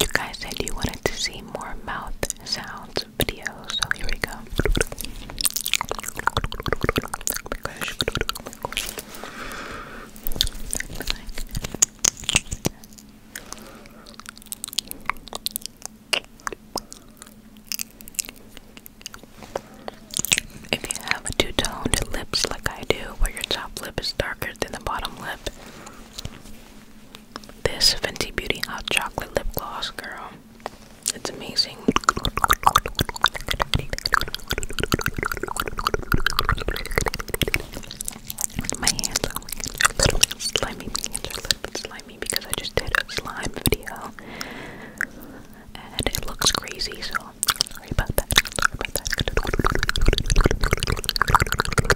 You guys said you wanted to see more mouth sounds videos, so here we go. If you have two-toned lips like I do, where your top lip is darker than the bottom lip, this Fenty Beauty Hot Chocolate Lip Gloss, girl. It's amazing. My hands are a slimy. slimy because I just did a slime video. And it looks crazy, so Sorry about that.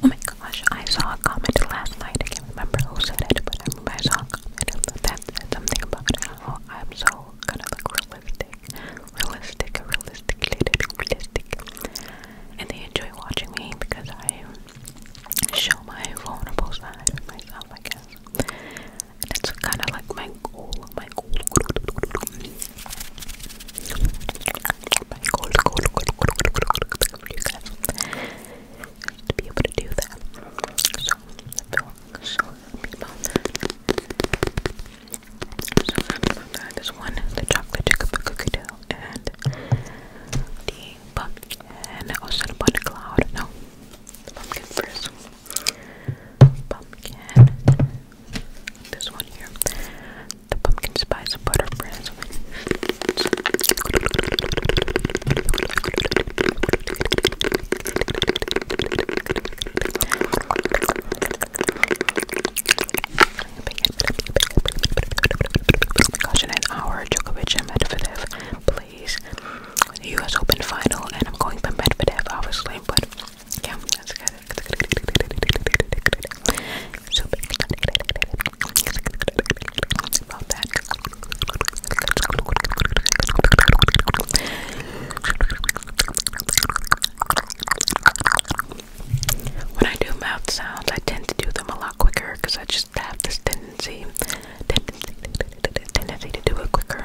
Oh my gosh, I saw a comment last night. I can't remember who said it, but I remember I saw a comment that said something about how I'm so kind of like realistic. Realistic, realistic, realistic. And they enjoy watching me because I show my vulnerable side of myself, I guess and that's kind of like my goal, my goal, my goal, to be able to do that. So so so This one, the chocolate chicken cookie dough, and the pumpkin, and also the butter cloud. No, pumpkin first. Pumpkin. This one here. The pumpkin spice butter bread. Caution an hour, Djokovic and Medvedev, please. US Open final, and I'm going for Medvedev, obviously, but when I do mouth sounds, I tend to do them a lot quicker because I just have this tendency, tendency to do it quicker.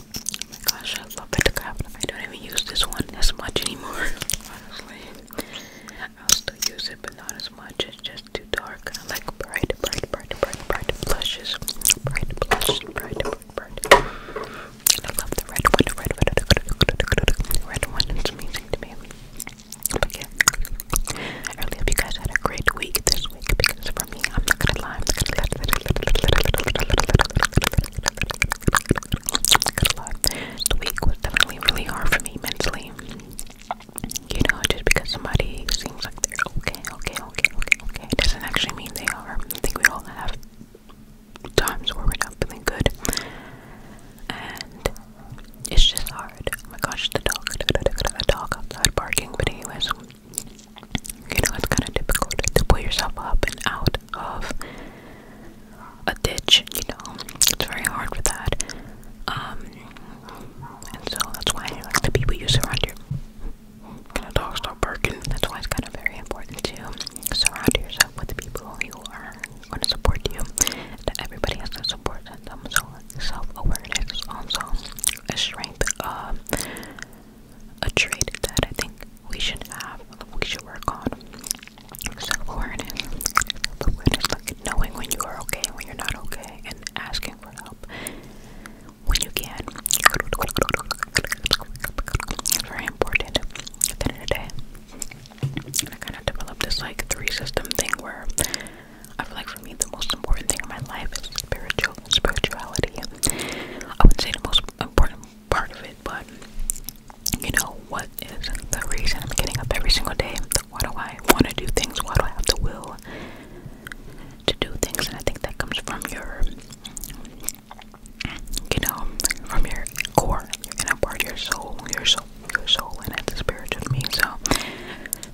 Oh my gosh, I love Pentacraft. I don't even use this one as much anymore. Honestly, i still use it, but not as much. It's just too dark. I like bright, bright, bright, bright, blushes. Bright blushes. Bright, bright, I love the red one. Red, one. It's amazing But yeah, I hope you guys had a great week this week because for me, I'm not gonna lie. Good luck. The week was definitely really hard for me mentally. You know, just because somebody seems like they're okay, okay, okay, okay, okay, it doesn't actually mean they are. I think we all have times where we're not feeling good. And it's just hard. Oh my gosh, the dog, the dog outside barking, but anyways, you know, it's kind of difficult to pull yourself up and out of a ditch, you know. It's very hard with that. Um, and so that's why like the people you surround your can of dog stop barking. That's why it's kind of very important to surround yourself with the people who are going to support you. That everybody has to support themselves. So self-awareness also a strength, um, a trait that I think we should have, we should work on self-awareness, self-awareness, like knowing when you are okay and when you're not okay, and asking for help when you can. very important at the end of the day. I kind of developed this like three system thing where I feel like for me the most important thing in my life is spiritual spirituality. I would say the most important part of it, but you know, what is the reason I'm getting up every single day? Why do I want to do things? Why do I have the will to do things? And I think that comes from your, you know, from your core, your inner part, your soul, your soul, your soul, and that's the spirit of me. So,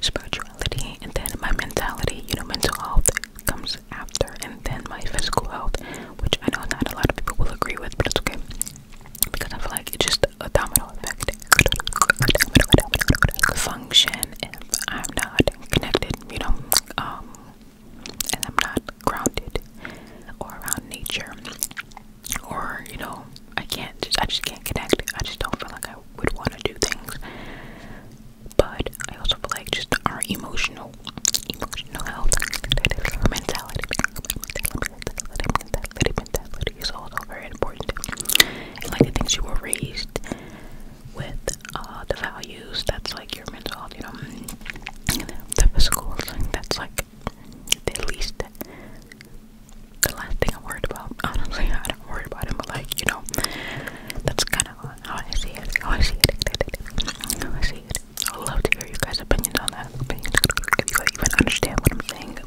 spirituality and then my mentality, you know, mental health comes after, and then my physical health, which I know not a lot of people will agree with, but it's okay because I feel like it's just a domino effect function if I'm not connected, you know, um, and I'm not grounded or around nature, or you know, I can't just I just can't connect. I just don't feel like I would want to do things. But I also feel like just our emotional emotional health, mentality, mentality, mentality is also very important. And like the things you were raised with, uh, the values, that's like your mental health, you know, and the physical thing, that's like the least, the last thing I'm worried about. Honestly, I don't worry about it, but like, you know, that's kind of how I see it, how I see it, how I see it. I would love to hear you guys' opinions on that. Opinions if you guys even understand what I'm saying.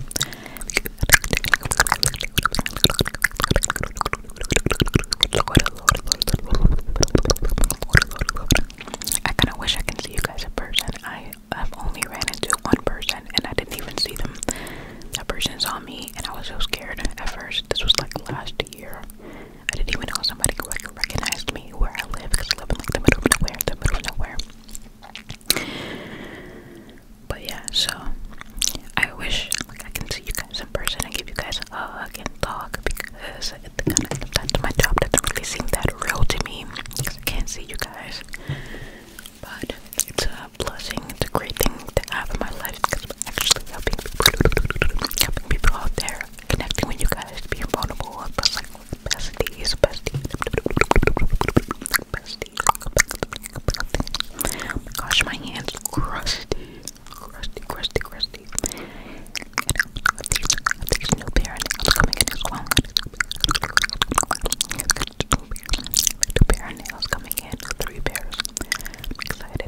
I kind of wish I can see you guys in person. I have only ran into one person, and I didn't even see them. That person saw me, and I was so scared at first. This was like last year, I didn't even know somebody recognized me where I live because I live in like the middle of nowhere, the middle of nowhere. But yeah, so I wish like I can see you guys in person and give you guys a hug and talk because it, kinda, that's my job doesn't really seem that real to me because I can't see you guys. But it's a blessing, it's a great thing to have in my life because I'm actually helping people, helping people out there, connecting with you guys, being vulnerable, plus like besties, besties. Bestie. Oh gosh, my hands crusty, crusty, crusty, crusty. And this new parent is coming in as well. Two pair of nails coming in, three pairs. excited.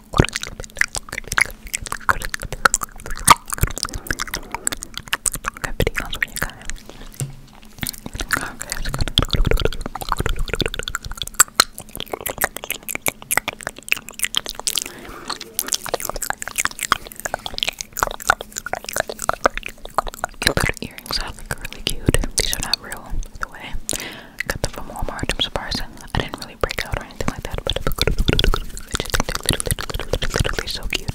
Your little earrings are really cute. These are not real, by the way. Got them from Walmart. I'm I didn't really break out or anything like that, but I they're so cute.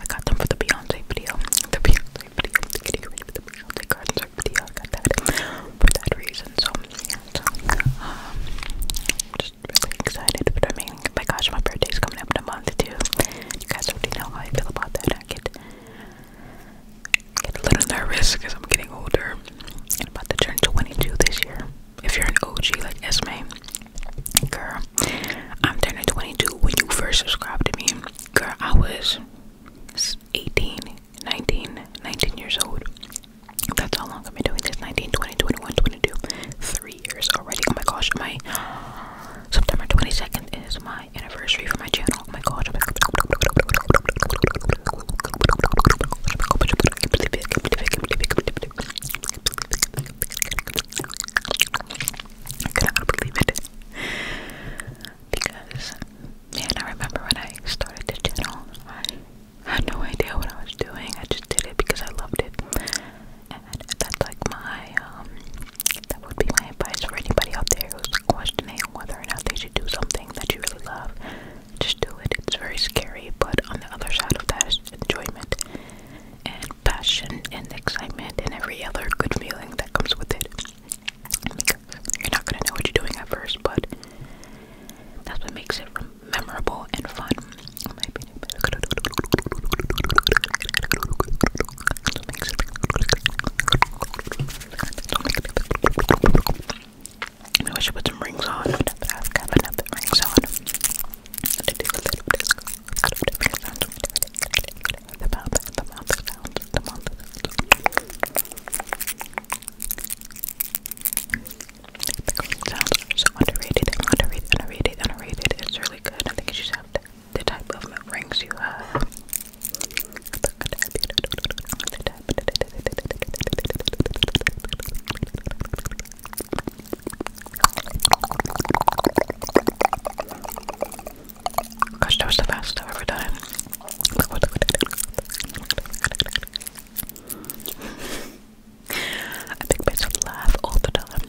I got them for the Beyonce video. The Beyonce video. getting ready for the Beyonce garden video. I got that for that reason. So, um, just really excited. But I mean, my gosh, my birthday's coming up in a month too. You guys already know how I feel about that a little nervous because I'm getting older. I'm about to turn 22 this year. If you're an OG like Esme, girl, I'm turning 22. When you first subscribed to me, girl, I was 18, 19, 19 years old. That's how long I've been doing this 19, 20, 21, 22, three years already. Oh my gosh, my September 22nd is my anniversary for my channel. Oh my gosh. I cannot believe it. Because, man, I remember when I started the channel, I had no idea what I was doing. I just did it because I loved it. And that's like my, um, that would be my advice for anybody out there who's questioning whether or not they should do something that you really love. Just do it. It's very scary, but on the other side of that is enjoyment and passion and excitement and every other good feeling that comes with it. You're not gonna know what you're doing at first, but that's what makes it memorable and fun. In my opinion. I wish I put some rings on, I've got rings on. To do a little disco. The mouth, the mouth sounds, the mouth sounds. The sounds are so underrated, underrated, underrated, underrated. It's really good. I think you should have the type of mood rings you have. Gosh, that was the best I've ever done. I think myself laugh All the time.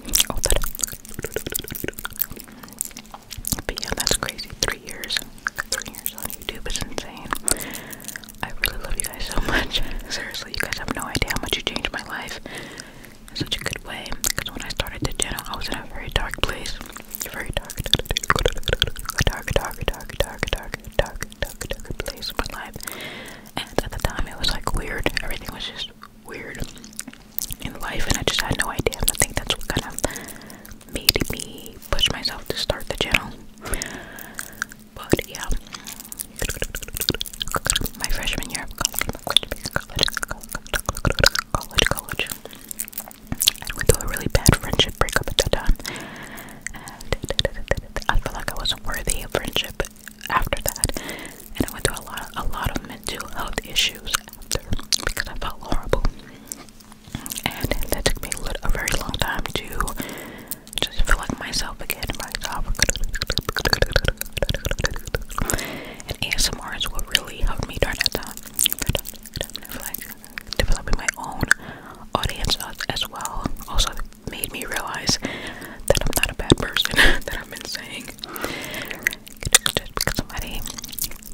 But yeah, that's crazy. Three years, three years on YouTube is insane. I really love you guys so much. Seriously, you guys have no idea how much you changed my life in such a good way. Because when I started the channel, I was in a very dark place. Very dark, dark, dark, dark, dark, dark, dark, dark, dark, dark place in my life. And at the time, it was like weird. Everything was just weird in life, and I just had no idea. And I think that's what kind of made me push myself to start the channel. But yeah, my freshman year of college, college, college, I went through a really bad friendship breakup at that time, and I felt like I wasn't worthy of friendship after that, and I went through a lot, a lot of mental health issues after because I felt horrible and that took me a very long time to just feel like myself again. And ASMR is what really helped me during that time. I feel developing my own audience as well also made me realize that I'm not a bad person that I've been saying. because somebody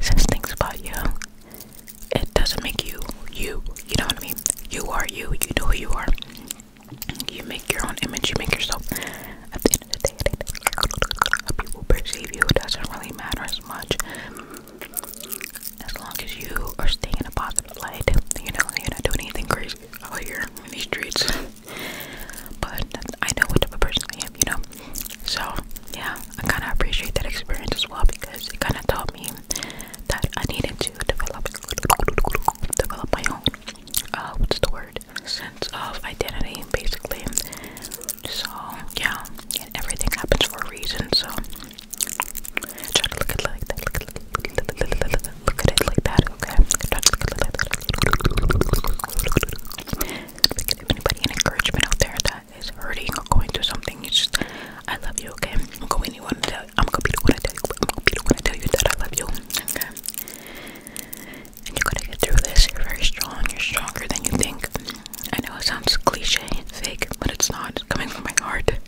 says things about you it doesn't make you you. You know what I mean? You are you. You know who you are. You make your own image. You make yourself. At the end of the day, how people perceive you doesn't really matter as much. As long as you are staying in a positive light, you know, you're not doing anything crazy out here in these streets. but I know what type of person I am, you know. So, yeah, I kind of appreciate that experience as well because it kind of taught me that I needed to develop develop my own uh what's the word sense of identity basically. So, yeah, and everything happens for a reason. So, try to look at like that. Look at, look at it like that. Okay. Try to look at it like that. Give anybody an encouragement out there that that is hurting or going through something, you just, I love you, okay? I'm going to want to tell I'm going to be the one to tell you, I'm going to be the one to tell you that I love you, okay? And you're going to get through this, you're very strong, you're stronger than you think. I know it sounds cliche fake, but it's not. It's coming from my heart, and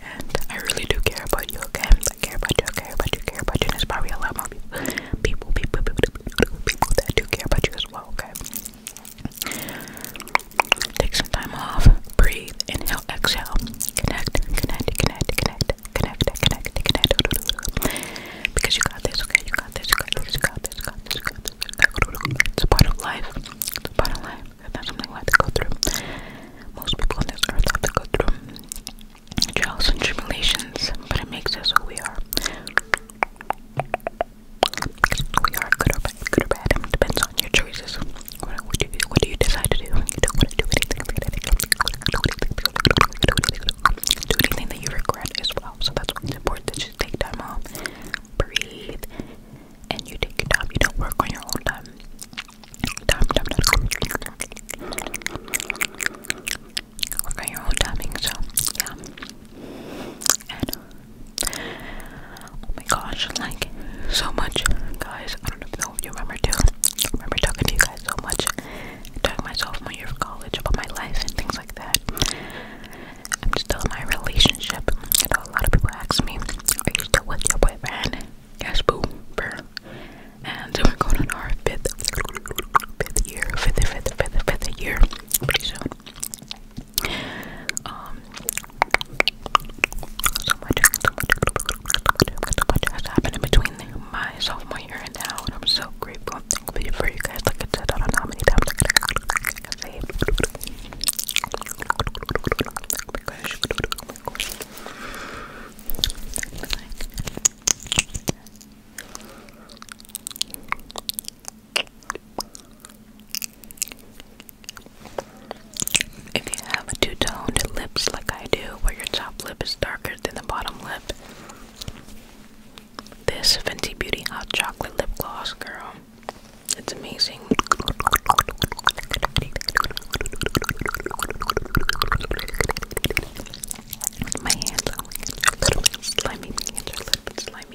I really do care about you, okay? I care about you, I care about you, I care about you, and there's probably a lot more people, people, people, people that do care about you as well, okay? Take some time off. Breathe. Inhale, exhale. Connect, connect, connect, connect, connect, connect, connect. Because you got this, okay? You got this, you got this, you got this, you got this, you got this. It's a part of life. It's a part of life. It's not something we have to go through. Most people on this earth have to go through trials and tribulations, but it makes us who we are we are good or bad, good or bad. It depends on your choices. What, what, do you, what do you decide to do? You don't want to do anything. Do anything that you regret as well. So that's why it's important that you take time off, breathe, and you take your time. You don't work on your own time. Time, time, time. Work on your own timing. So yeah and uh, oh my gosh, like so much, guys. I don't know if you remember too. I remember talking to you guys so much, talking myself my year of college about my life and things like that. I'm still in my relationship. You know, a lot of people ask me, "Are you still with your boyfriend?" Yes, boo, burr. And we're going on our fifth, fifth year, fifth, fifth, fifth, fifth year pretty soon. Um, so much, has happened in between my sophomore year and now, and I'm so grateful and thankful for you guys. I don't know how many times I can say Oh my gosh, oh my gosh. If you have a two-toned lips like I do, where your top lip is darker than the bottom lip, this Fenty Beauty Hot Chocolate Lip Gloss, girl, it's amazing. My hands are slimy. My hands are slimy.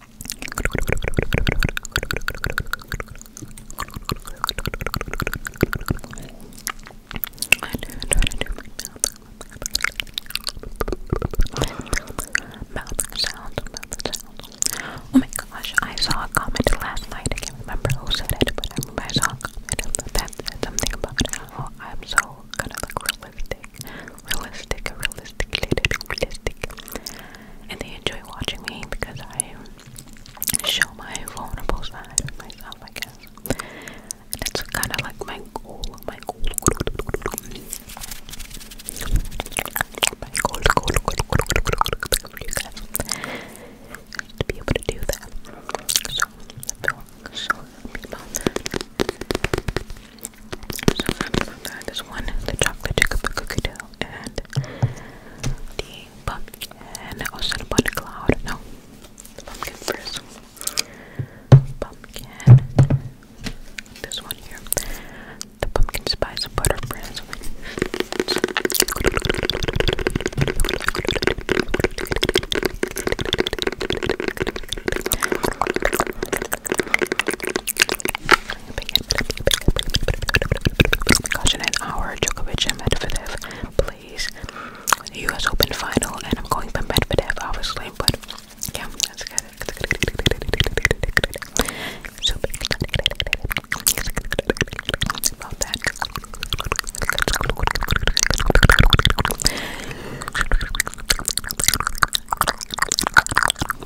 Mouth sounds, mouth sounds. Oh my gosh, I saw a comment last night. I can't remember who said it, but I remember I saw a comment that said something about how I'm so kind of like realistic. Realistic, realistic, realistic and they enjoy watching me because I show my vulnerable side of myself, I guess. And that's kind of like my goal, my goal. My goal, goal, goal, goal for you guys to be able to do that. So I feel so happy about that. I'm so happy about that. This one, the chocolate chip cookie dough and the pumpkin, also the butter cloud, no, pumpkin first, pumpkin, this one here, the pumpkin spice butter bread. Gosh, in an hour, Djokovic and Medvedev plays U.S. Open final, and I'm going for Medvedev, obviously. But yeah, that's good. Super that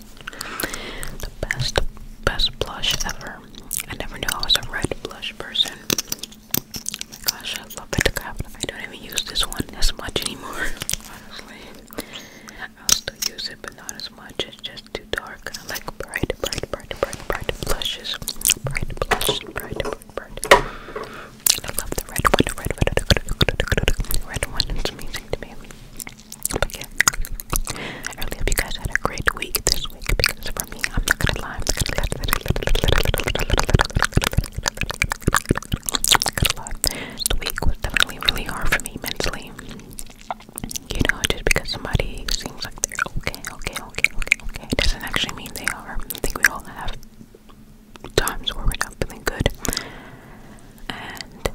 the best, best blush ever. I never knew I was a red blush person. Oh my gosh, I love it. I don't even use this one as much anymore, honestly. i still use it, but not as much. It's just too dark. I like bright, bright, bright, bright, blushes. Bright blushes, bright, bright, I love the red one, red one. It's amazing to me. But yeah, I really hope you guys had a great week this week because for me, I'm not gonna lie, I'm not gonna lie, the week was definitely really hard for me mentally. You know, just because somebody seems like they're okay, okay, okay, okay, okay, it doesn't actually mean they are. I think we all have times where we're not feeling good and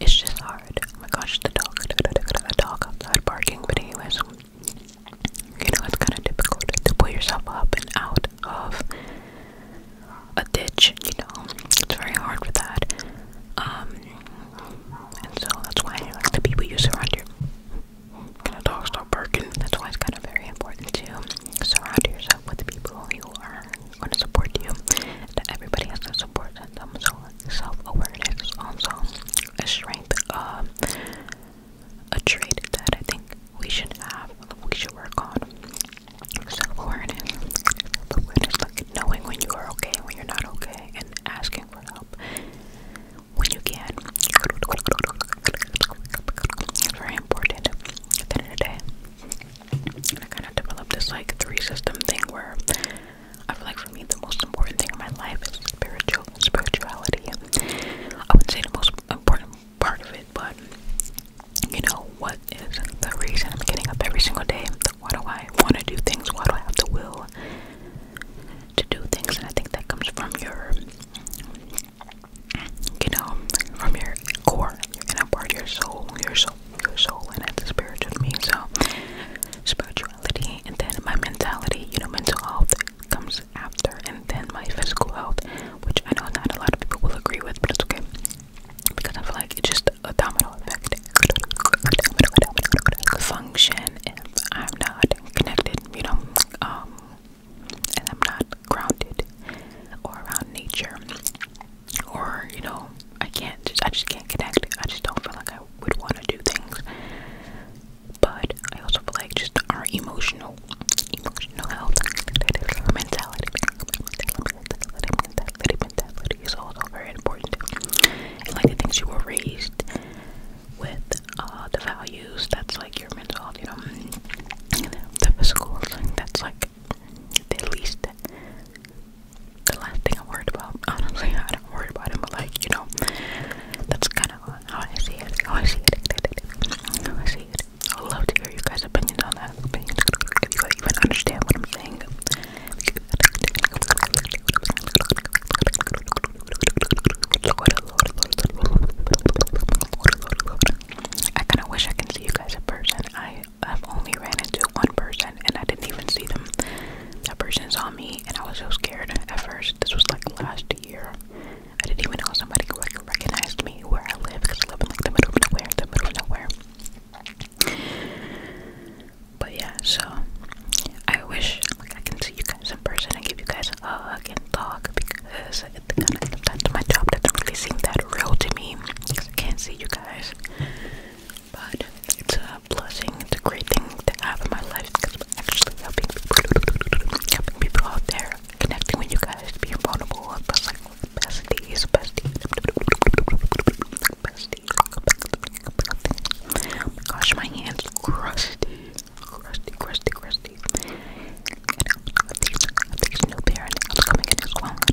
it's just hard. Oh my gosh, the dog, the dog outside barking. But anyways, you know it's kind of difficult to pull yourself up and out of a ditch. You know, it's very hard for that. Um, and so that's why like the people you surround your can a dog stop barking? That's why it's kind of very important to surround yourself with the people who are gonna support you. That everybody has to support themselves. Self-awareness also a strength, uh, a trait that I think we should have. We should work on self-awareness. knowing when you are okay, when you're not okay, and asking for help when you can. very important end of the day. And I kind of developed this like three system thing where I feel like for me the most important thing in my life is spiritual spirituality. I would say the most important part of it, but you know what is the reason I'm getting up every single day? Why do I want to do things? Why do I have the will to do things? And I think that comes from your you know, from your core, your inner part, your soul, your soul soul, your soul, and that's the spirit of me. So, spirituality and then my mentality, you know, mental health comes after, and then my physical health, which I know not a lot of people will agree with, but it's okay because I feel like it's just a domino effect function if I'm not connected, you know, um, and I'm not grounded or around nature or you know i can't just i just can't connect i just don't feel like i would want to do things but i also feel like just our emotional emotional health mentality mentality mentality is also very important and like the things you were raised with uh the values that's like your mental health you know the physical thing that's like the least the last thing I worried about. Honestly, I don't worry about him, but like, you know, that's kind of how I see it. How I see it. I see it. I would love to hear you guys' opinions on that. Opinions you guys even understand what I'm saying. I kind of wish I can see you guys in person. I I've only ran into one person and I didn't even see them. That person saw me and I was so scared at first. This was like last year. I didn't even know somebody like recognized me where I live because I live in like the middle of nowhere, the middle of nowhere. But yeah, so I wish like I can see you guys in person and give you guys a hug and talk because it kind of, my job doesn't really seem that real to me because I can't see you guys. But it's a blessing, it's a great thing to have in my life because I'm actually helping people, helping people out there, connecting with you guys, being vulnerable, but like besties, besties, besties. Oh my gosh, my hands crusty, crusty, crusty, crusty. And these, these new parents are coming in as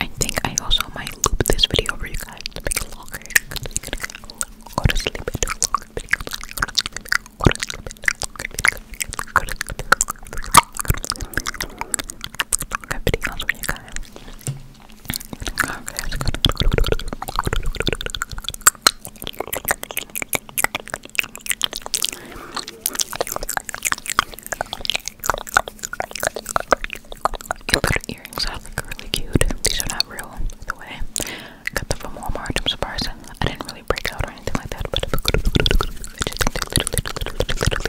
I think I also might loop this video for you guys to make it longer. Go to sleep and Good videos for you guys. Okay, your little earrings are really cute. These are not real, by the way. I got them from Walmart. I'm I didn't really break out or anything like that, but they're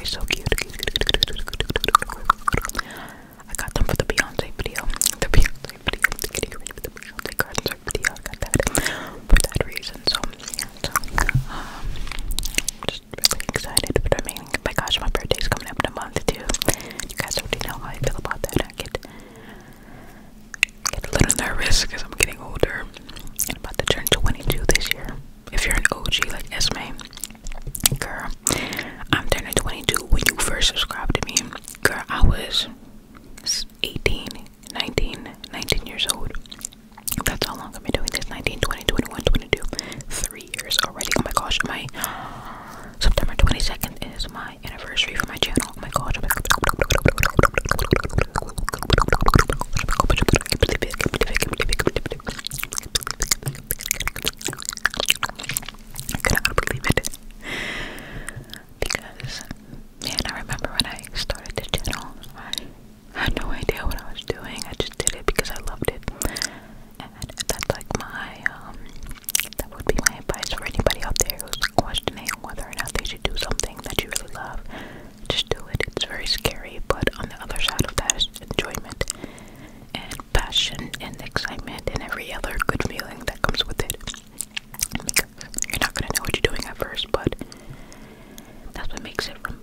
so cute. I got them for the Beyonce video. The Beyonce video. The Beyonce video. for that reason. So plans. Um, just really excited, but I mean, my gosh, my birthday's coming up in a month too. You guys already know how I feel about that. I get, get a little nervous because I'm getting older. I'm about to turn 22 this year. If you're an OG like Esme, girl, I'm turning 22 when you first subscribed to me. Girl, I was 18, 19, years old. That's how long I've been doing this. 19, 20, 21, 22, three years already. Oh my gosh, my September 22nd is my anniversary for my channel. Oh my gosh, I cannot believe it. Because man, I remember when I started the channel, I had no idea what I was doing. I just did it because I loved it. And that's like my, um, that would be my advice for anybody out there who's questioning whether or not they should do something that you really love. Just do it. It's very scary, but on the other side of that is enjoyment and passion and excitement and every other good feeling that comes with it. you're not going to know what you're doing at first, but that's what makes it fun.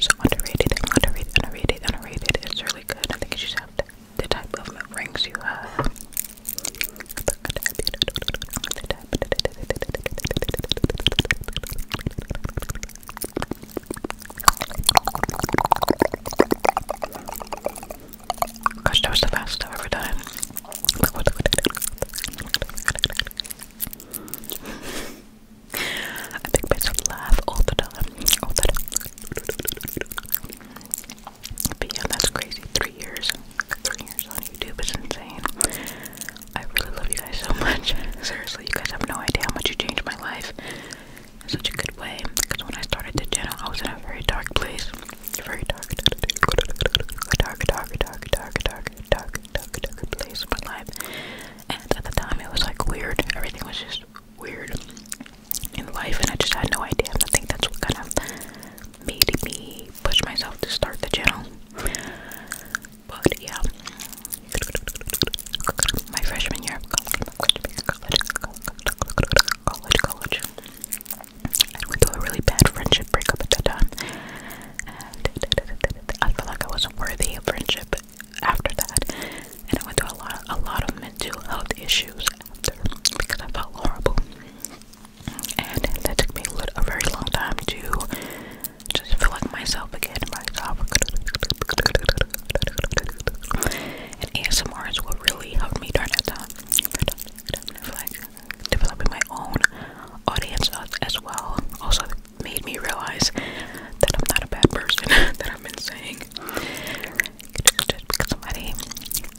so underrated, underrated, underrated, underrated. It's really good. I think you should have the, the type of rings you have. Gosh, that was the best I've ever done. I make myself laugh all the time. All the time. But yeah, that's crazy. Three years. Three years on YouTube is insane. I really love you guys so much. Seriously, you guys have no idea how much you changed my life in such a good way. Because when I started the channel, I was in a very dark place. Very dark, dark, dark, dark, dark, dark, dark, dark, days of my life. And at the time, it was like weird. Everything was just weird in life, and I just had no idea. And I think that's what kind of made me push myself to start the channel. But yeah, my freshman year of college, college, college, college. I went through a really bad friendship breakup at that time and I felt like I wasn't worthy of friendship after that. And I went through a lot, a lot of mental health issues after because I felt horrible. And that took me a, very long time to just feel like myself again. Myself. And ASMR is what really helped me during that time. like developing my own audience as well. Also, made me realize that I'm not a bad person that I've been saying. Just because somebody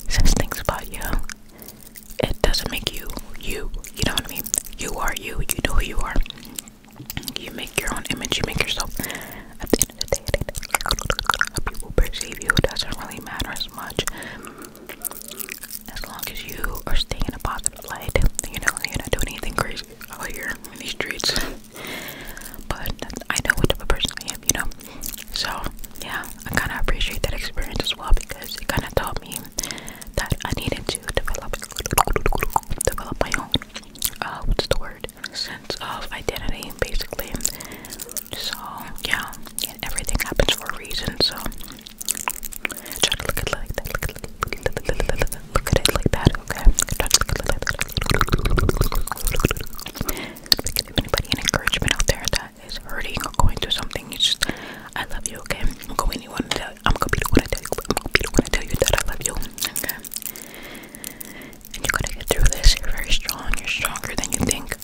says things about you, it doesn't make you you. You know what I mean? You are you. You know who you are. You make your own image. You make yourself. At the end of the day, how people perceive you doesn't really matter as much as long as you are staying in a positive light, you know, you're not doing anything crazy out here in these streets. but I know what type of person I am, you know. So yeah, I kind of appreciate that experience as well because it kind of taught me that I needed to develop develop my own uh, what's the word sense of identity, basically. So yeah, and everything happens for a reason. So Try to look at it like that. Look at it, like that, look at it like that. Give anybody an encouragement out there that is hurting or going through something, you just, I love you, okay? I'm going to tell you, i I'm going to be the one to tell you that I love you, okay? And you're going to get through this. You're very strong. You're stronger than you think.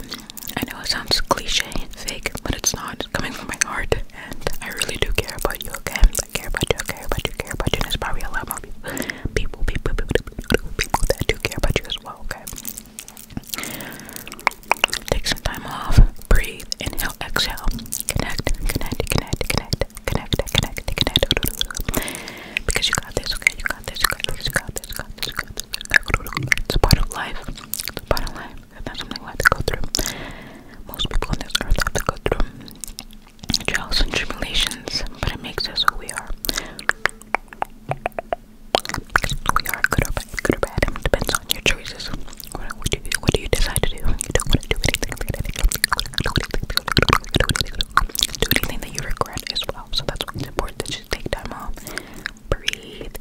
I know it sounds cliche fake, but it's not. It's coming from my heart and I really do care about you, okay? I care about you, I care about you, I care about you, and there's probably a lot more people, people, people, people, people that do care about you as well, okay? Take some time off, breathe, inhale, exhale, connect, connect, connect, connect, connect, connect, connect, because you got this, okay? You got this, you got this, you got this, you got this, you got this. It's a part of life. It's a part of life. That's something we have to go through. Most people on this earth have to go through trials and tribulations, but it makes us who we are. We are good or bad, good or bad. It depends on your choices. What, what, do, you, what do you decide to do? Do anything that you regret as well. So that's why it's important to just take time off, breathe,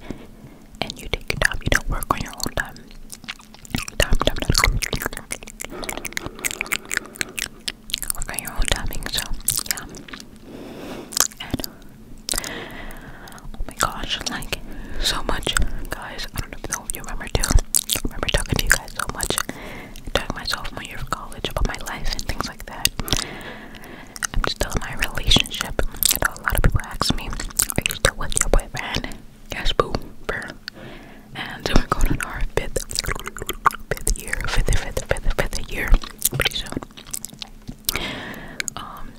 and you take your time. You don't work on your own time. Okay, you're all timing, so yeah. oh my gosh, like so much, guys. I don't know if you remember too. remember talking to you guys so much, talking myself my year of college about my life and things like that. I'm still in my relationship. I know a lot of people ask me, "Are you still with your boyfriend?" Yes, boo, And we're going on our fifth, fifth year, fifth, fifth, fifth, fifth year, pretty Um,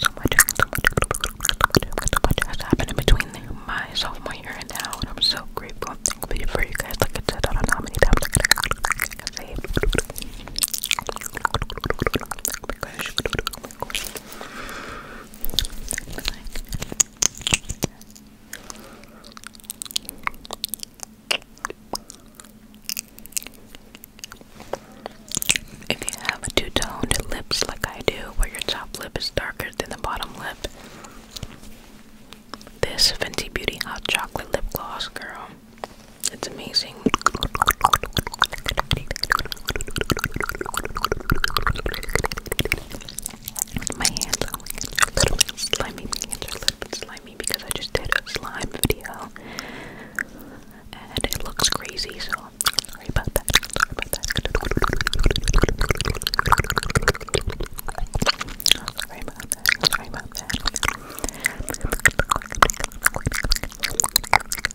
so much, has happened in between my sophomore year and now, and I'm so grateful and for you guys. Like I said, I don't know how many times if you have a two-toned lips like I do, where your top lip is darker than the bottom lip, this Fenty Beauty Hot Chocolate Lip Gloss, girl, it's amazing using. My hands are slimy. My hands are slimy because I just did a slime video and it looks crazy, so Sorry about that. Sorry about that.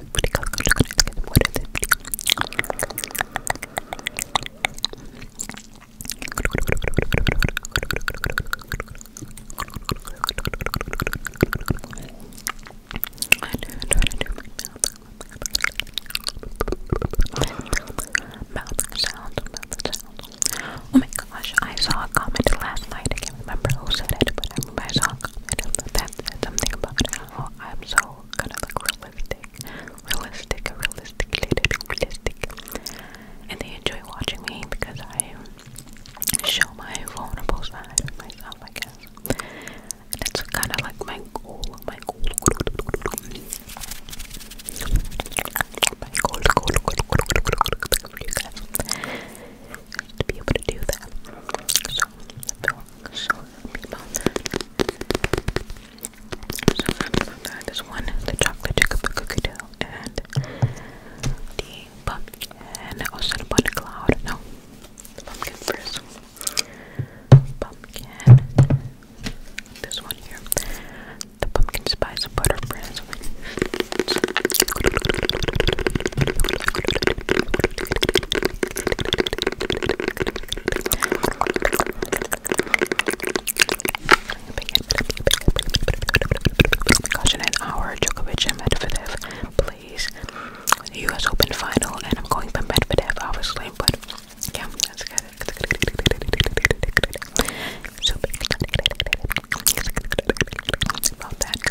mouth sound, mouth sound. Oh my gosh, I saw a comment last night. I can't remember who said it, but I, I saw a comment that said something about how I'm so kind of like realistic, realistic, realistic, realistic, and they enjoy watching me because I show my vulnerable side of myself, I guess. And it's kind of like my goal, my goal, my goal, goal, goal, goal, goal, goal, goal, goal for you guys, to be able to do that. So so I'm so happy about This one, the chocolate chip cookie dough, and the pumpkin, and also the butter cloud. No, pumpkin first. Pumpkin. This one here. The pumpkin spice butter bread. Gosh, in an hour, Djokovic and Medvedev plays U.S. Open final, and I'm going for Medvedev, obviously, but yeah, that's good. So that,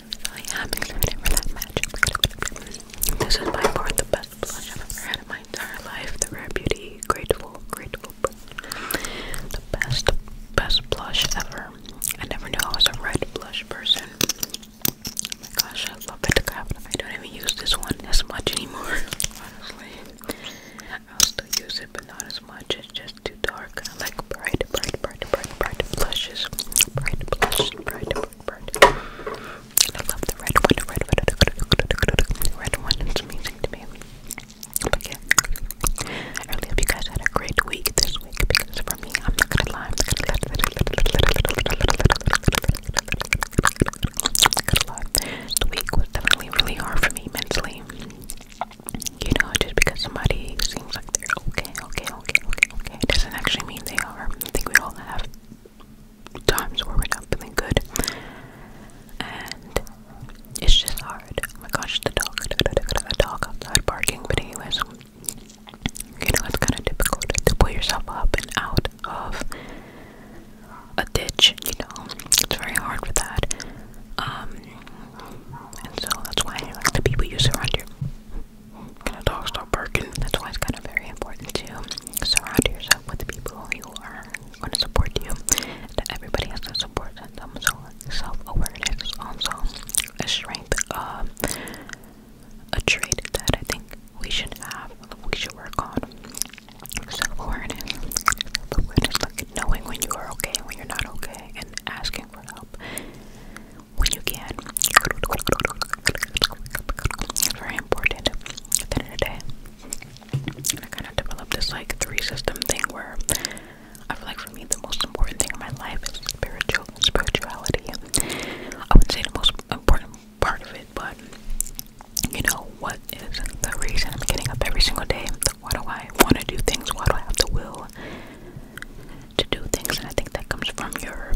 I am excited for that match. This is by far the best blush I've ever had in my entire life. The Rare Beauty Grateful, Grateful, the best, best blush ever. I never knew I was a red blush person. Oh my gosh, I love it. I don't even use this one as much anymore. Honestly, I'll still use it, but not as much. It's just too dark dark. I like bright, bright, bright, bright, bright blushes. Bright blushes, bright, bright, bright. I love the red one, red one, red one. It's amazing to me. But yeah, I really hope you guys had a great week this week because for me, I'm not gonna lie, I'm not gonna lie. The week was definitely really hard for me mentally. You know, just because somebody seems like they're okay, okay, okay, okay, okay, it doesn't actually mean they are. I think we all have times where we're not feeling good. And it's just hard. Oh my gosh, the dog, the dog outside barking. But anyways, you know, it's kind of difficult to pull yourself up and out of a ditch, you know. It's very hard for that. Um, and so that's why the people you surround your can a dog stop barking? That's why it's kind of very important to surround yourself with people who are going to support you. That everybody has to support them. So self-awareness is also a strength, uh, a trait that I think we should have. We should work on self-awareness. Self-awareness, like knowing when you are okay and when you're not okay, and asking for help when you can. very important the end of the day. I kind of developed this like three system thing where I feel like for me the most important thing in my life is spiritual spirituality. I wouldn't say the most important part of it, but you know what is the reason I'm getting up every single day? Why do I want to do things? Why do I have the will? to do things, and I think that comes from your,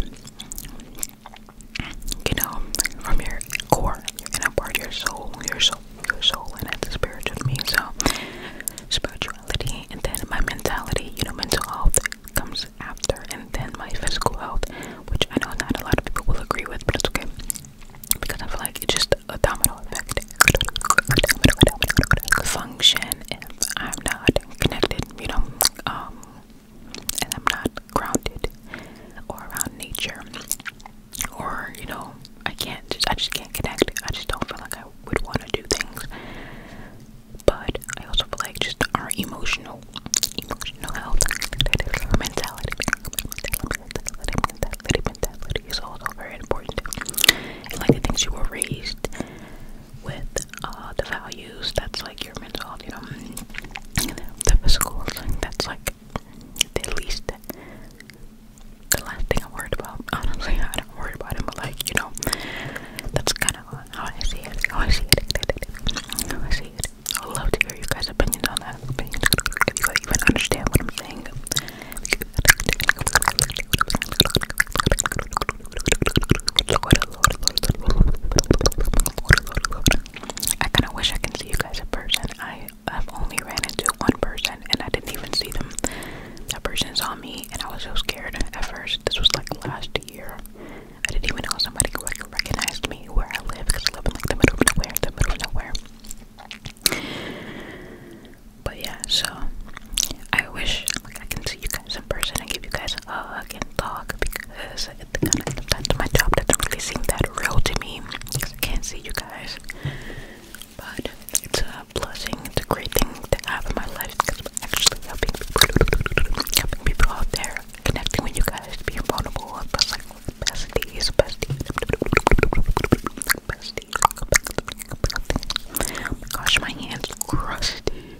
you know, from your core, your inner part, your soul, your soul, your soul, and it's the spiritual me. So, spirituality, and then my mentality, you know, mental health comes after, and then my physical health, which I know not a lot of people will agree with, but it's okay because I feel like it's just a domino effect. Function if I'm not connected you know, um, and I'm not grounded or around nature, or you know, I can't just, I just can't connect. I just don't feel like I would want to do things. But I also feel like just our emotional, emotional health, mentality, mentality, mentality, mentality is also very important. like the things you were raised with uh, the values that's like your mental health, you know, mm-hmm. the physical thing that's like the least, the last thing I'm worried about. Honestly, I don't worry about it, but like, you know, that's kind of how I see it, how I see it, how I see it. I would love to hear you guys' opinions on that, opinions, if you guys even understand what I'm saying. I kind of wish I can see you guys in person. I have only ran into one person and I didn't even see them. That person saw me and I was so scared at first. This was like last year. I didn't even know somebody like, recognized me where I live because I live in like the middle of nowhere, the middle of nowhere. But yeah, so I wish I can see you guys in person and give you guys a hug and talk because it kind of sometimes my job doesn't really seem that real to me because I can't see you guys. But it's a blessing, it's a great thing to have in my life because I'm actually helping people, out there, connecting with you guys, being vulnerable, and but like besties, besties, besties. Oh my gosh, my hands crusty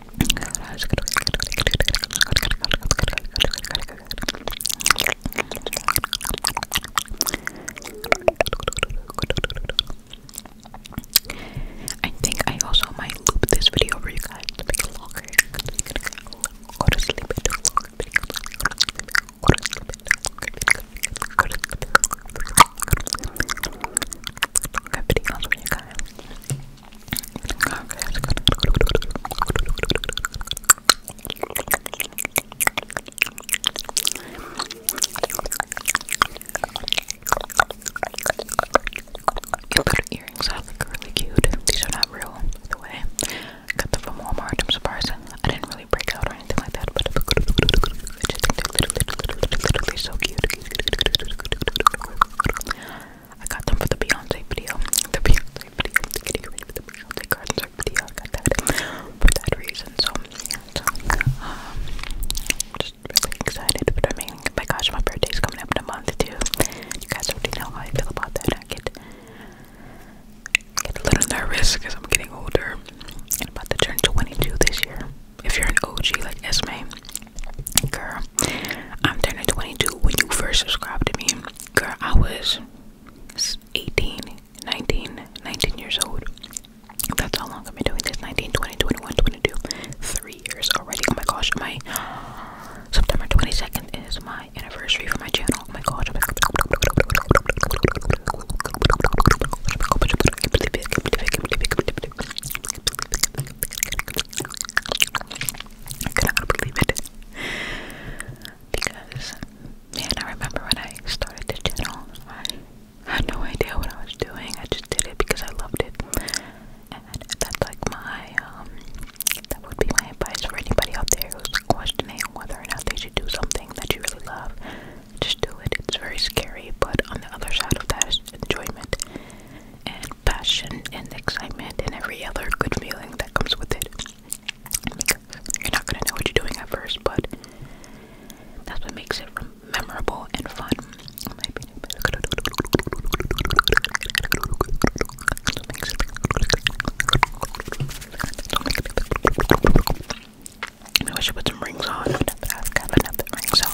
I think I also might loop this video for you guys to make it longer. Your earrings are really cute. These are not real, by the way. I got them from Walmart. I'm I didn't really break out or anything like that, but I just think they're so cute. I got them for the Beyonce video. The Beyonce video. The getting ready for the Beyonce concert video. I got that for that reason. So, yeah, so um, just really excited. But I mean, my gosh, my birthday's coming up in a month too. You guys already know how I feel about that. I get get a little nervous because I'm getting older. And about to turn 22 this year. If you're an OG like Esme, Girl, I'm turning 22 when you first subscribed to me. Girl, I was 18, 19, 19 years old. That's how long I've been doing this 19, 20, 21, 22, three years already. Oh my gosh, my September 22nd is my anniversary for my channel. Oh my gosh, I could believe it. Because, man, I remember when I started the channel, I had no idea what I was doing. I just did it because I loved it. And that's like my, um, that would be my advice for anybody out there who's questioning whether or not they should do something that you really love. Just do it. It's very scary, but on the other side of that is enjoyment. And passion and excitement and every other good feeling that comes with it. you're not gonna know what you're doing at first, but that's what makes it memorable and fun. In my I wish I put some rings on. I've got enough rings on.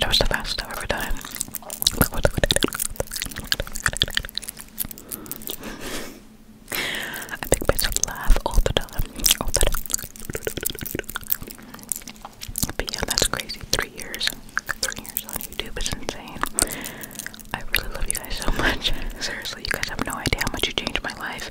Gosh, that was the fastest I've ever done. I think myself laugh all the time. All the time. that's crazy. Three years. Three years on YouTube is insane. I really love you guys so much. Seriously, you guys have no idea how much you changed my life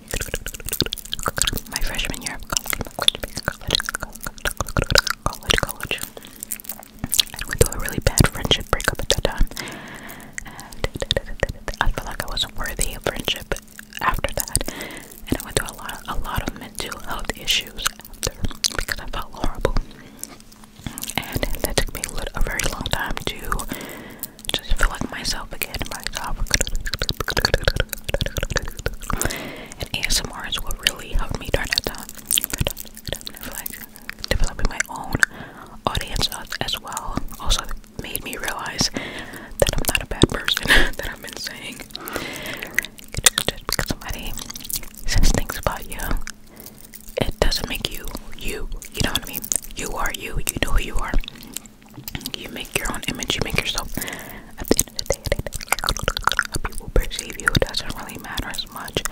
my freshman year of college, college, college, college. I went through a really bad friendship breakup at that time, and I felt like I wasn't worthy of friendship after that. And I went through a lot, a lot of mental health issues after because I felt horrible. And that took me a very long time to just feel like myself again. Myself, and ASMR is what really helped me during that time. Like developing my own audience as well also made me realize that I'm not a bad person that I've been saying. because somebody says things about you, it doesn't make you you. You know what I mean? You are you. You know who you are. You make your own image, you make yourself. At the end of the day, how people perceive you doesn't really matter as much.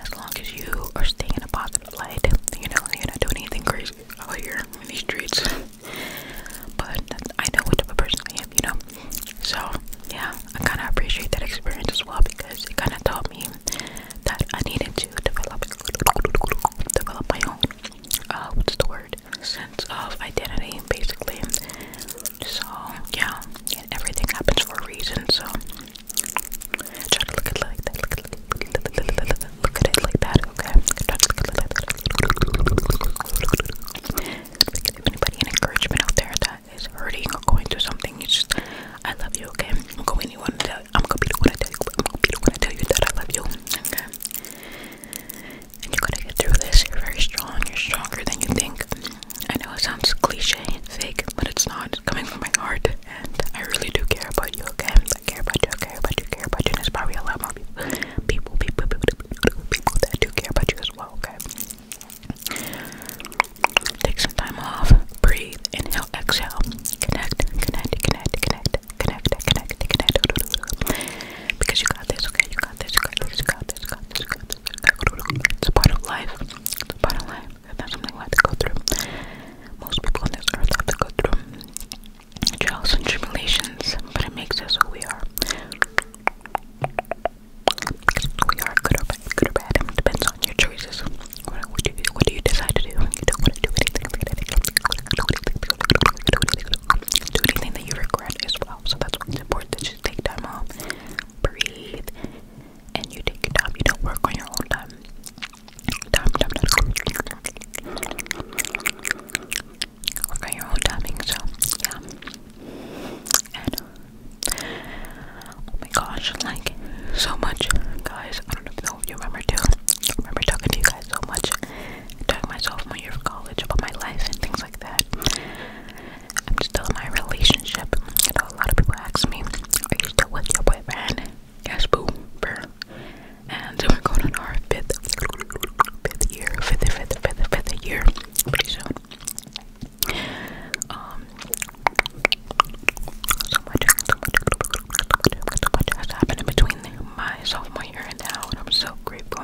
As long as you are staying in a positive light, you know, you're not doing anything crazy out here in these streets. But I know what type of person I am, you know. So, yeah, I kind of appreciate that experience as well because it kind of taught me that I needed to develop, develop my own. Uh, what's the word? weird sense of identity, basically. So, yeah, and everything happens for a reason, so try to look at it like that. Look at, look, look, look at it like that, okay? Try to look at it like that. If anybody an encouragement out there that is hurting or going through something, you just, I love you, okay? I'm going to tell you, I'm going to be the one to tell you, I'm going to be the one to tell you that I love you, okay? and you gotta get through this. You're very strong. You're stronger than you think. I know it sounds cliche fake, but it's not. It's coming from my heart, and I really do care about you. Okay, I care about you. I care about you. I care about you. there's probably a lot more people, people, people that do care about you as well. Okay. Take some time off. Breathe. Inhale. Exhale. Connect. Connect. Connect. Connect connect, connect, connect. Because you got this, okay? You got this, you got this, you got this, you got this, you got this. It's a part of life. It's a part of life. It's not something we have to go through. Most people on this earth have to go through trials and tribulations, but it makes us who we are. we are good or bad, good or bad. It depends on your choices. What, do you decide to do? do anything that you regret as well. So that's important that take time off, breathe, and you take your time. You don't work on your own time. Work on your own timing. So yeah. oh my gosh, like so much, guys. I don't know if you remember too. remember talking to you guys so much during my sophomore year of college about my life and things like that. I'm still in my relationship. You know, a lot of people ask me, Are you still with your boyfriend? Yes, boo, burr. And we're oh going on our fifth, fifth year, fifth, fifth, fifth, fifth year, pretty soon. Um, so much, so much, so much, so much has happened in between my sophomore year and now, and I'm so grateful.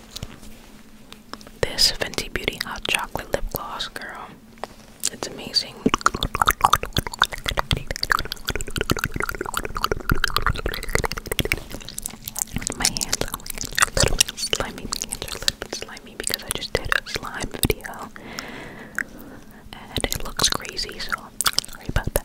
This Fenty Beauty Hot Chocolate Lip Gloss, girl. It's amazing. My hands are a little My hands are a because I just did a slime video. And it looks crazy, so Sorry about that.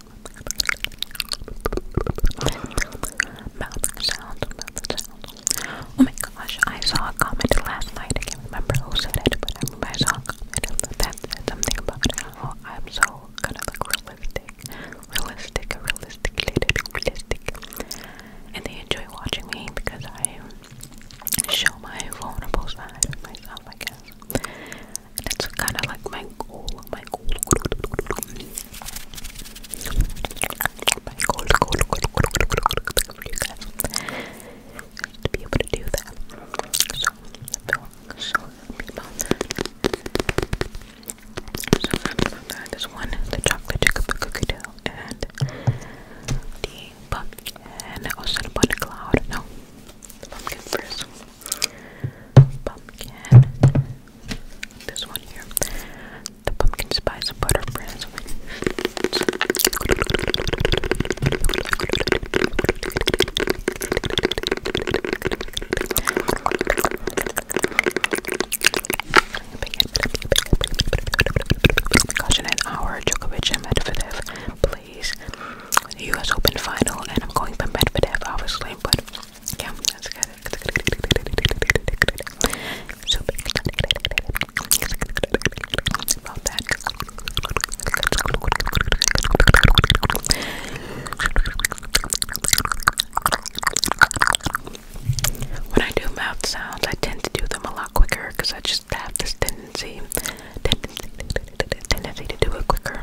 Oh my gosh, I saw a comment last night. I can't remember who said it, but I remember I saw that something about how I'm so kind of look realistic. Realistic, realistic, realistic. And they enjoy watching me because I show my vulnerable side of myself, I guess. That's kind of like my goal, my goal. My goal, goal, goal, goal for you guys to be able to do that. So, so, so happy about that. So happy about that. This one, the chocolate chocolate cookie dough, and the pumpkin. And also the butter cloud. No, the pumpkin first. Pumpkin. This one here. The pumpkin spice butter prince. Caution an hour, Djokovic and Medvedev, please. US Open final, and I'm going for Medvedev, obviously, but yeah, that's When I do mouth sounds, I tend to do them a lot quicker because I just have this tendency, tendency, tendency to do it quicker.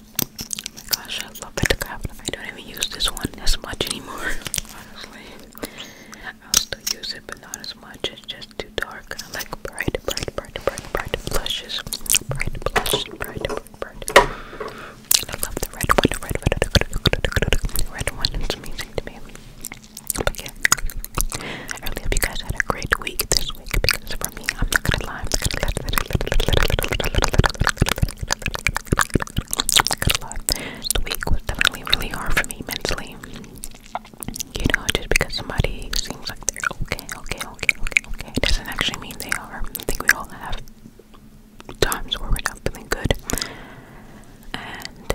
Oh my gosh, I love it. I don't even use this one as much anymore. Honestly, i still use it, but not as much. It's just too dark. I like bright, bright, bright, bright, bright blushes. Bright blush, bright, bright, I love the red one. red one. It's amazing to me. But yeah, I really hope you guys had a great week this week because for me, I'm not gonna lie. The week was definitely really hard for me mentally. You know, just because somebody seems like they're okay, okay, okay, okay, okay, doesn't actually mean they are. I think we all have times where we're not feeling good. And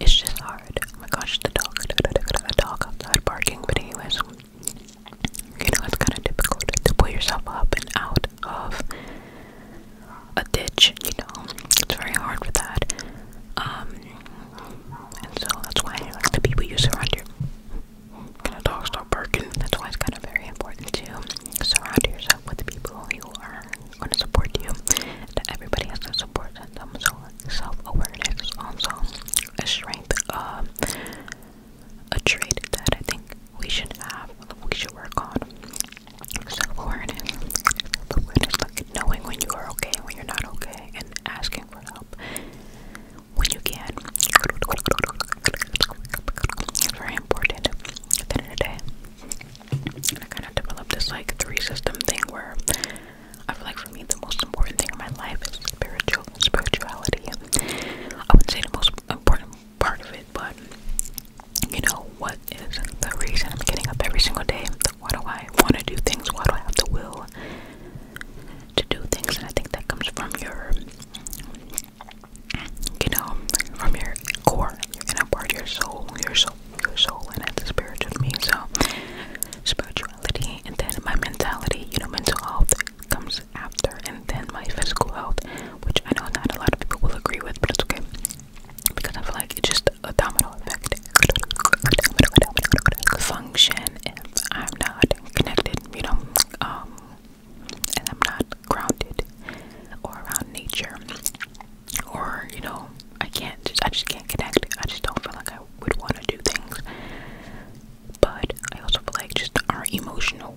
it's just hard. Oh my gosh, the dog, the dog outside barking. But anyways, you know, it's kind of difficult to pull yourself up and out of a ditch, you know. It's very hard with that. Um, and so that's why the people you surround your can a dog barking? That's why it's kind of very important to surround yourself with the people you are going to support you. That everybody has to support them. So self awareness is also a strength a trait that I think we should have, we should work on. Self-awareness. Self-awareness, knowing when you are okay, when you're not okay, and asking for help when you can. It's very important at the end of the day. I kind of developed this like three system thing where I feel like for me the most important thing in my life is spiritual spirituality. I would say the most important part of it, but you know, what is the reason I'm getting up every single day? Why do I want to do things? Why do I have the will to do things? And I think that comes from your, you know, from your core, your inner part, your soul, your soul, your soul, and that's the spirit of me. So, spirituality and then my mentality, you know, mental health comes after, and then my physical health, which I know not a lot of people will agree with, but it's okay because I feel like it's just a domino effect function if I'm not connected, you know, um, and I'm not grounded or around nature, or you know, I can't just I just can't connect. I just don't feel like I would want to do things. But I also feel like just our emotional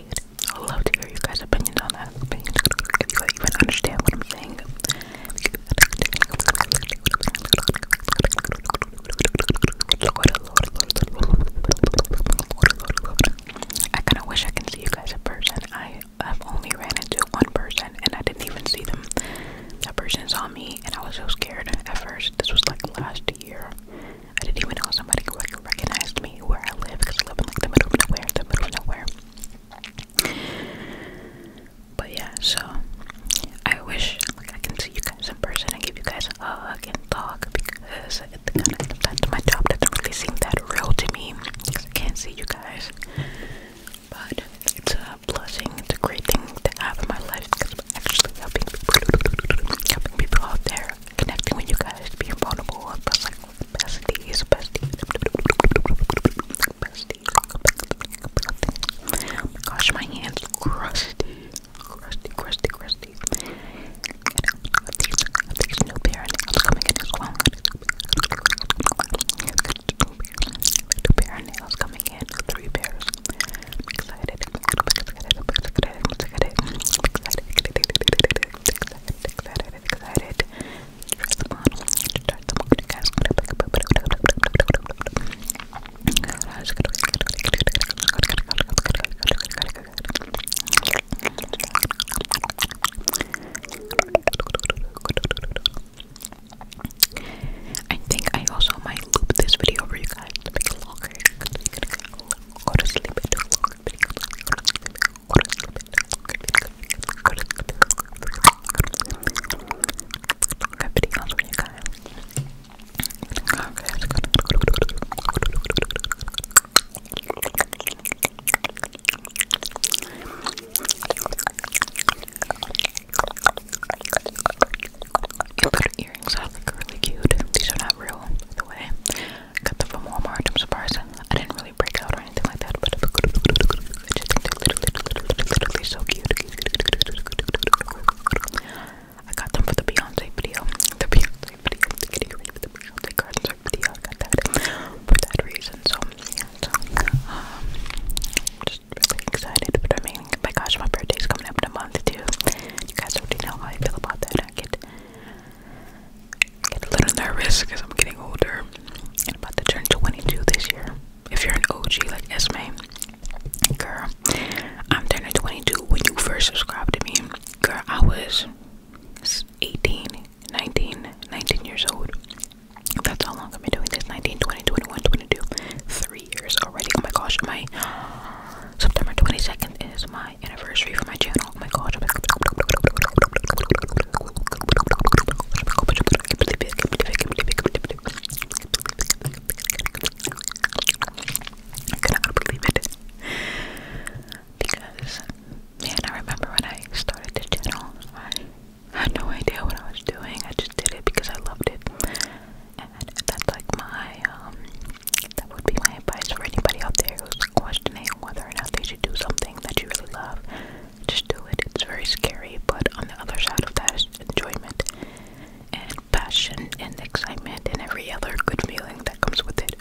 opinion. I would love to hear you guys' opinion on that. If you even understand what I'm saying. I kind of wish I can see you guys in person. I have only ran into one person and I didn't even see them. That person saw me and I was so scared at first. This was like last year. I didn't even know somebody recognized me where I live because I live in like the middle of nowhere, the middle of nowhere. But yeah, so I wish like I can see you guys in person and give you guys a hug talk because it, kind of, that's my job doesn't really seem that real to me because I can't see you guys. But it's a blessing, it's a great thing to have in my life because I'm actually helping people, helping people out there connecting with you guys, being vulnerable, and but like besties, oh gosh, my hands crusty, crusty, crusty, crusty. I these, I new pair, and I'm coming in as well. Two pair of nails coming in, three pairs. excited excited, excited, excited. I think I also might loop this video for you guys Go to sleep and don't look at me. Go to sleep and don't look at me. Go to sleep and don't look at me. Good videos for you guys. Okay, good. Your little earrings are like really cute. These are not real, by the way. Got them from Walmart. I'm I didn't really break out or anything like that, but they're so cute. I got them for the Beyonce video. The Beyonce video. The Beyonce video. I got that for that reason. So, so um, just really excited. But I mean, my gosh, my birthday is coming up in a month too. You guys already know how I feel about that. I get I get a little nervous because I'm getting older and about to turn 22 this year. If you're an OG like Esme, girl, I'm turning 22 when you first subscribed to me. Girl, I was 18, 19, 19 years old. That's how long I've been doing this 19, 20, 21, 22, 3 years already. Oh my gosh, my September 22nd is my anniversary for my channel. my gosh. I cannot believe it. Because, man, I remember when I started the channel, I had no idea what I was doing. I just did it because I loved it. And that's like my, that would be my advice for anybody out there who's questioning whether or not they should do something that you really love. Just do it. It's very scary, but on the other side of that is enjoyment and passion and excitement and every other good feeling that comes with it.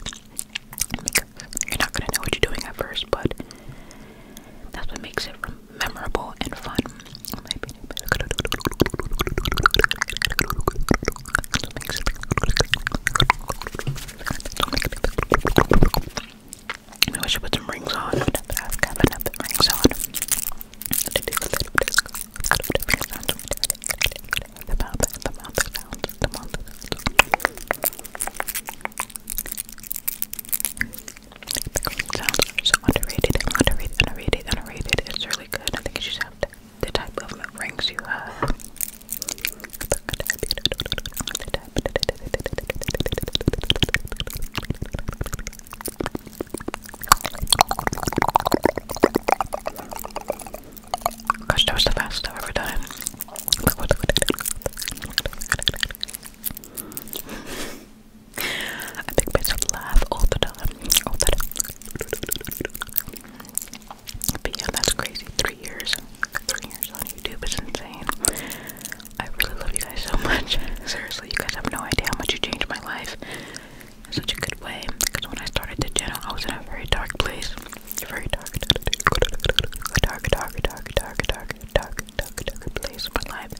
you're not gonna know what you're doing at first, but that's what makes it memorable and fun. Maybe I should put some rings on. I've got rings on. The mouth, the mouth the mouth sounds so underrated, underrated, underrated, underrated. It's really good. I think you should the type of rings you up. Gosh, that was the best I've ever done. I think myself laugh All the time. But yeah, that's crazy. Three years. Three years on YouTube is insane. I really love you guys so much. Seriously, you guys have no idea how much you changed my life in such a good way. Because when I started the channel, I was in a very dark place. Very dark, dark, dark, dark, dark, dark, dark, dark, dark, dark place in my life.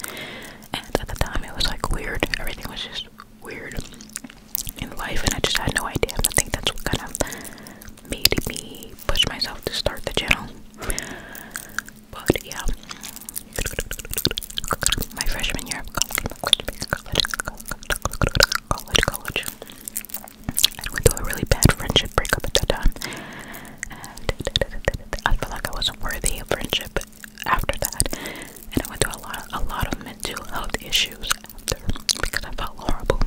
And at the time, it was like weird. Everything was just weird in life and I just had no idea I think that's what kind of made me push myself to start the channel but yeah my freshman year of college college college college I went through a really bad friendship breakup at that time and I felt like I wasn't worthy of friendship after that and I went through a lot a lot of mental health issues after because I felt horrible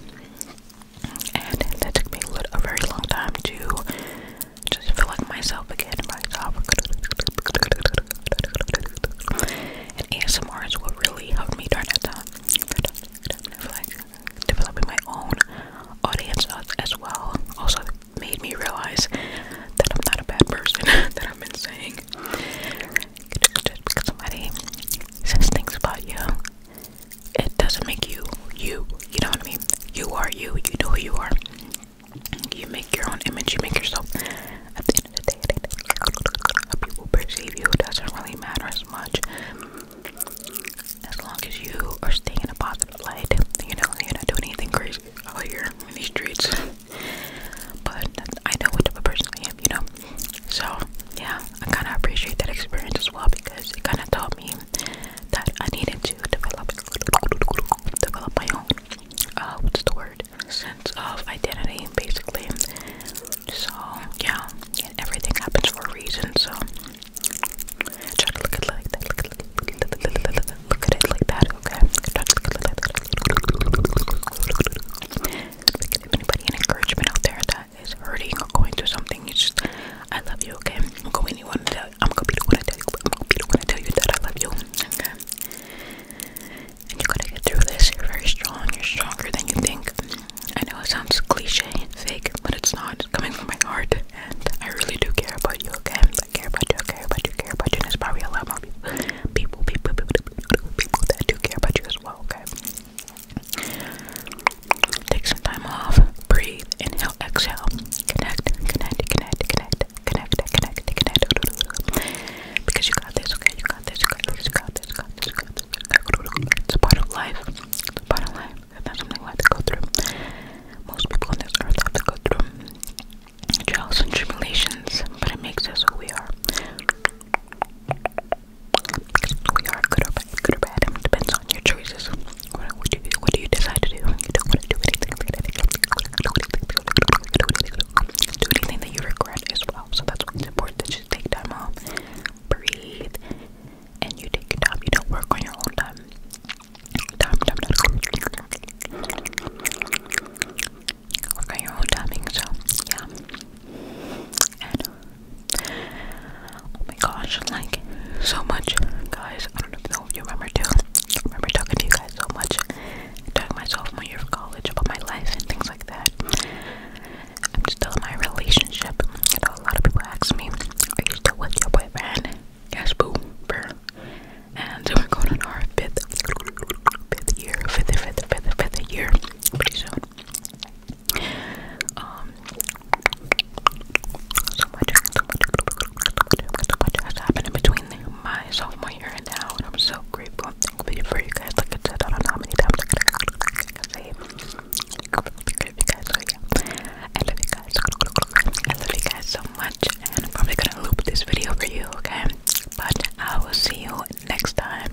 and that took me a, very long time to just feel like myself again. Myself. And ASMR is what really helped me during that time. Like developing my own audience as well also made me realize that I'm not a bad person that I've been saying. Just because somebody says things about you it doesn't make you you. You know what I mean? You are you. You know who you are. You make your own image. You make yourself. At the end of the day, how people perceive you doesn't really matter as much. As long as you are staying in a positive light, you know, you're not doing anything crazy out here in these streets. But I know what type of person I you know. So yeah, I kind of appreciate that experience as well because it kind of taught me that I needed to develop develop my own uh, what's the word sense of identity basically. So yeah, everything happens for a reason. So look at like that. Look at, it like that. Okay. Try anybody an encouragement out there that is hurting or going through something, you just I love you, okay? I'm going to want to tell you I'm gonna be the one to tell you I'm gonna be the one to tell you that I love you. Okay. And you're gonna get through this. You're very strong, you're stronger than you think. I know it sounds cliche and fake, but it's not. It's coming from my heart and I really do care about you, okay? I care about you, I care about you, I care about you, and it's probably a lot more people people people people, people, people that do care about you as well, okay? Take some time off. Breathe. Inhale, exhale. Connect, connect, connect, connect, connect, connect, connect. Because you got this, okay? You got this, you got this, you got this, you got this, you got this. It's a part of life. It's a part of life. And that's something we have to go through. Most people on this earth have to go through trials and tribulations, but it makes us who we are we are good or bad, good or bad. I mean, it depends on your choices. What, what, do you, what do you decide to do? You don't want to do anything. Do anything that you regret as well. So that's why it's important that you take time off, breathe, and you take your time. You don't work on your own time. Time, time, time. Work on your own timing. So yeah, and. Oh my gosh, like so much, guys. I don't know if you remember too. remember talking to you guys so much, talking myself my year of college about my life and things like that. I'm still in my relationship. You know, a lot of people ask me, "Are you still with your boyfriend?" Yes, boo, bruh. And we're going on our fifth, fifth year, fifth, fifth, fifth, fifth year pretty soon. Um, so much, so much, so much has happened between my sophomore and now, and I'm so grateful for you guys. Like I said, I don't know how many times I can, I can say I love you guys, I love you guys. so much, and I'm probably gonna loop this video for you, okay? But I will see you next time.